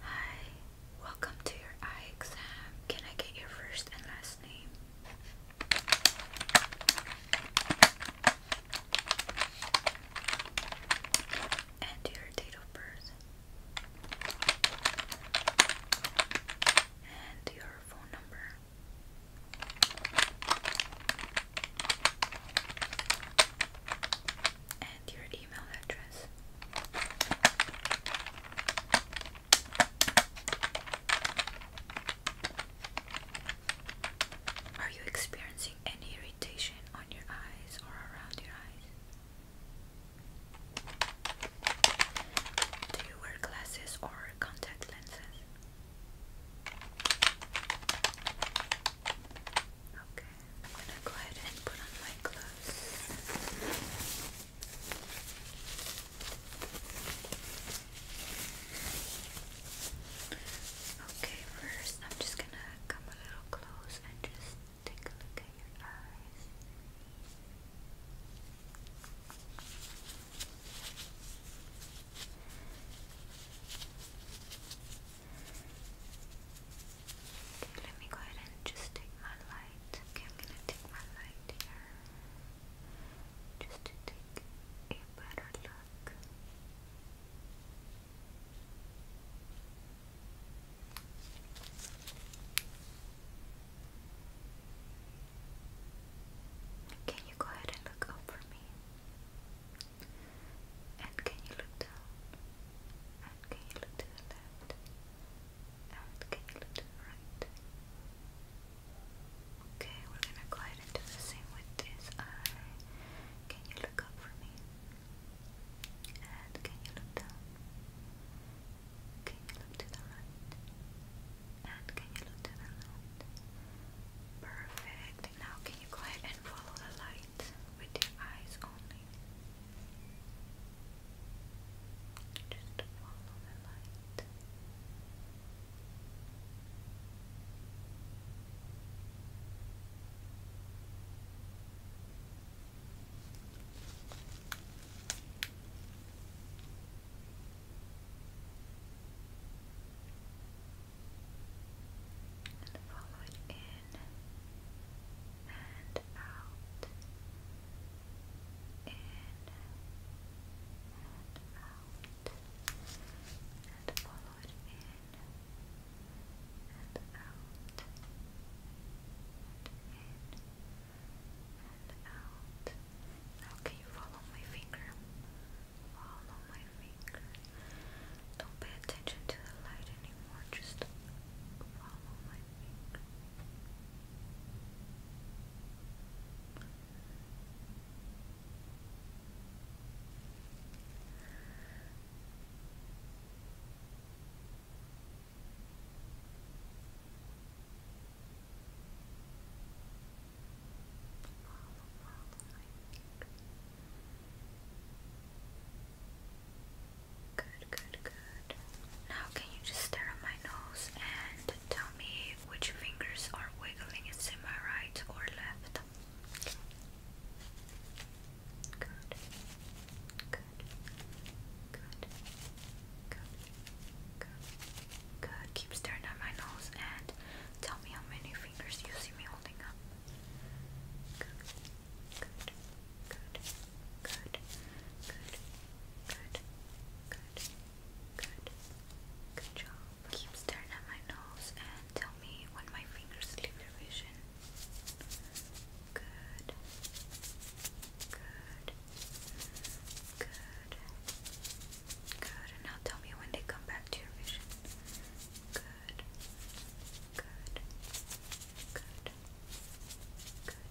Hi, welcome to your eye exam. Can I get your first and last name? And your date of birth? And your phone number? and your email address. Are you experiencing any irritation on your eyes or around your eyes? Do you wear glasses or contact lenses? Okay, I'm gonna go ahead and put on my clothes. Okay, first I'm just gonna come a little close and just take a look at your eyes. Okay, let me go ahead and just take my light. Okay, I'm gonna take my light here just to take a better look. Can you go ahead and look up for me? And can you look down? And can you look to the left? And can you look to the right? Okay, we're gonna go ahead and do the same with this eye. Can you look up for me? And can you look down? Can you look to the right? And can you look to the left? Perfect. Now, can you go ahead and follow the light with your eyes only? Just follow the light and follow it in and out, in and out, and follow it in and out, in and out. Now, can you follow my finger? follow my finger. Don't pay attention to the light anymore, just follow my finger. Follow, follow my finger. Good, good, good. Now, can you just stare at my nose and tell me which fingers are wiggling? Is it my right or left? Good, good, good, good, good, good. Keep staring at my nose and tell me how many fingers you see me holding up good, good job. Keep staring at my nose and tell me when my fingers leave your vision. Good, good, good, good. And now tell me when they come back to your vision. Good. Good. Good. Good.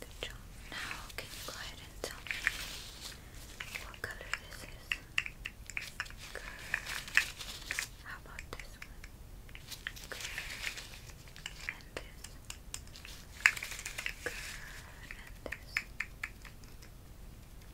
Good job. Now, can you go ahead and tell me what color this is? Good. How about this one? Good. And this. Good. And this.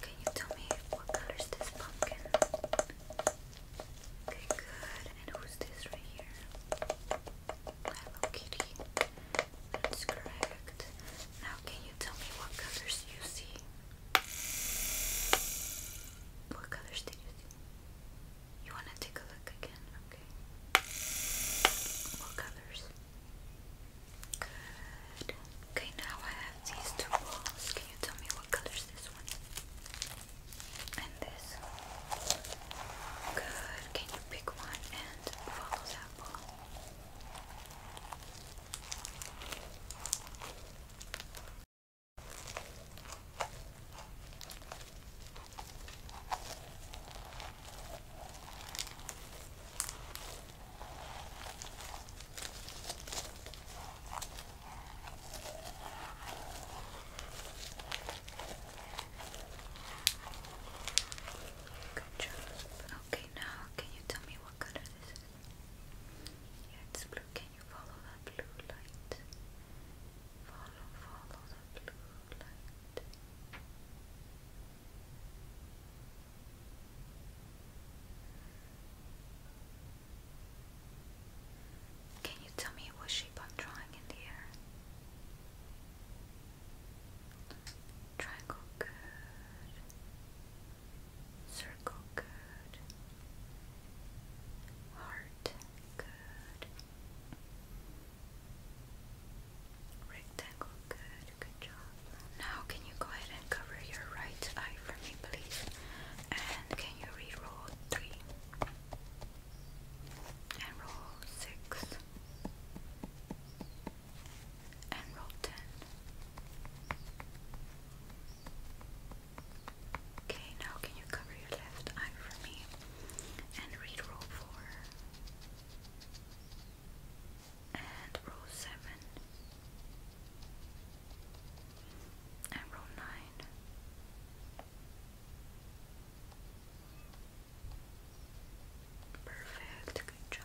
Can you tell me what colors this pumpkin? good. And who's this right here? Hello Kitty. That's correct. Now, can you tell me what colors you see? What colors did you see? You wanna take a look again? Okay. What colors? Good. Okay, now I have these two balls. Can you tell me what color this one? And this. Good. Can you pick one and follow that ball? Good Okay, now can you tell me what color this is? it's blue. Can you follow that blue light? Follow, follow the blue light. Can you tell me what shape I'm drawing in the air? Triangle good. Circle good. Heart good. Rectangle good good job. Now, can you go ahead and cover your right eye for me, please? And can you re-roll three? And roll six. And roll ten. Okay, now can you cover your left eye for me? And read roll four and row 7 and row 9 perfect, good job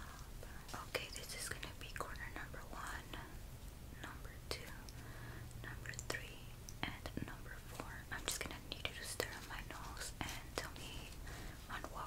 okay, this is gonna be corner number 1 number 2 number 3 and number 4 I'm just gonna need you to stare at my nose and tell me on what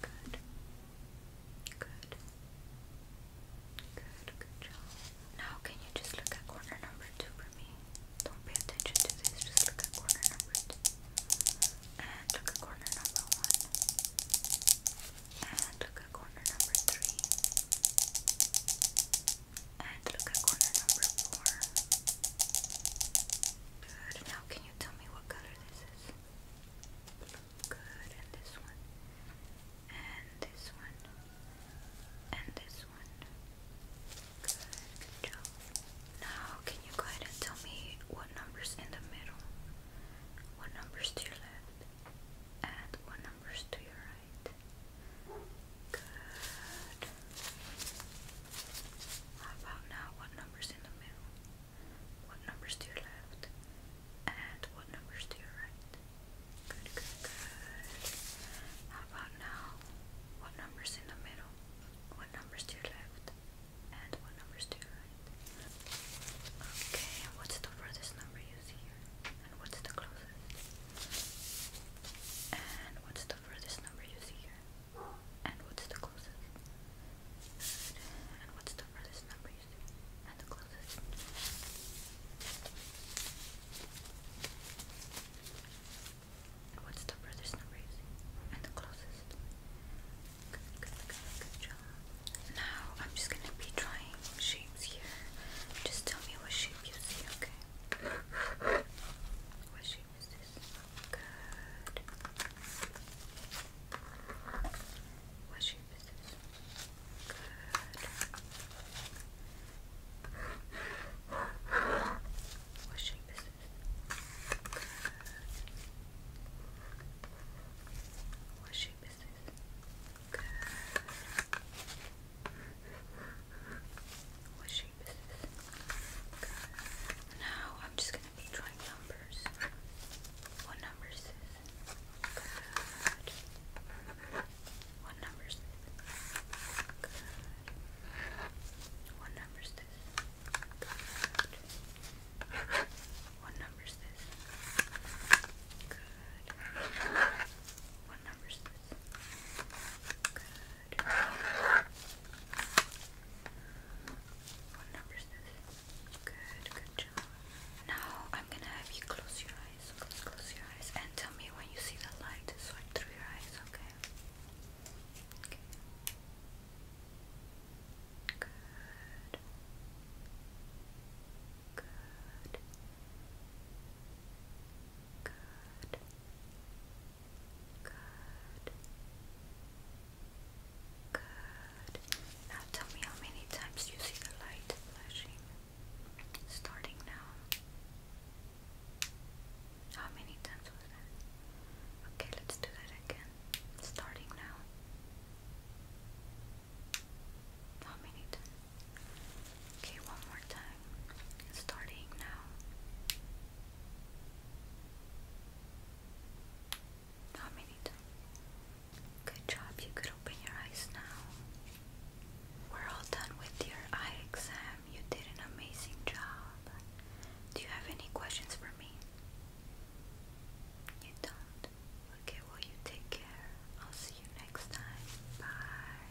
Good. Good. Good, good job. Now, can you just look at corner number two for me? Don't pay attention to this, just look at corner number two. And look at corner number one. And look at corner number three. And look at corner number four. Good. Now, can can you tell me what color this is? Good, and this one, and this one, and this one. Good, Now, can you go ahead and tell me what numbers in the middle? What numbers to your left? And what numbers to your right? Good. How about now? What number's in the middle? What number's to your left? And what number's to your right? Good, good, good. How about now? What number's in the middle? What number's to your left? And what number's to your right? Okay, and what's the furthest number you see here? And what's the closest? And what's the furthest number you see here? And what's the closest? And what's the furthest number you see? And the closest. And what's the furthest number you see? And the closest. Good, good, good, good job. Now I'm just gonna be drawing shapes here. Just tell me what shape you see, okay? What shape? is this? Good. Good. What shape is Good. What shape is Good. What shape shape is Now I'm just gonna be trying numbers. What number is this? What number is this? What number is this? What number is this? What number is this? Good. What number is this? Good, good job. Now I'm gonna have you close your eyes. Close, close your eyes and tell me when you see the light. Swipe through your eyes, okay? Okay. Good. Good. Good. Good. Good. Now tell me how many times you see the light flashing. Starting now. How many times was that? Okay, let's do that again. Starting now. How many times? Okay, one more time. Starting now. How many Good job, you could open your eyes now. We're all done with your eye exam. You did an amazing job. Do you have any questions for me? You don't? Okay, well, you take care. I'll see you next time. Bye.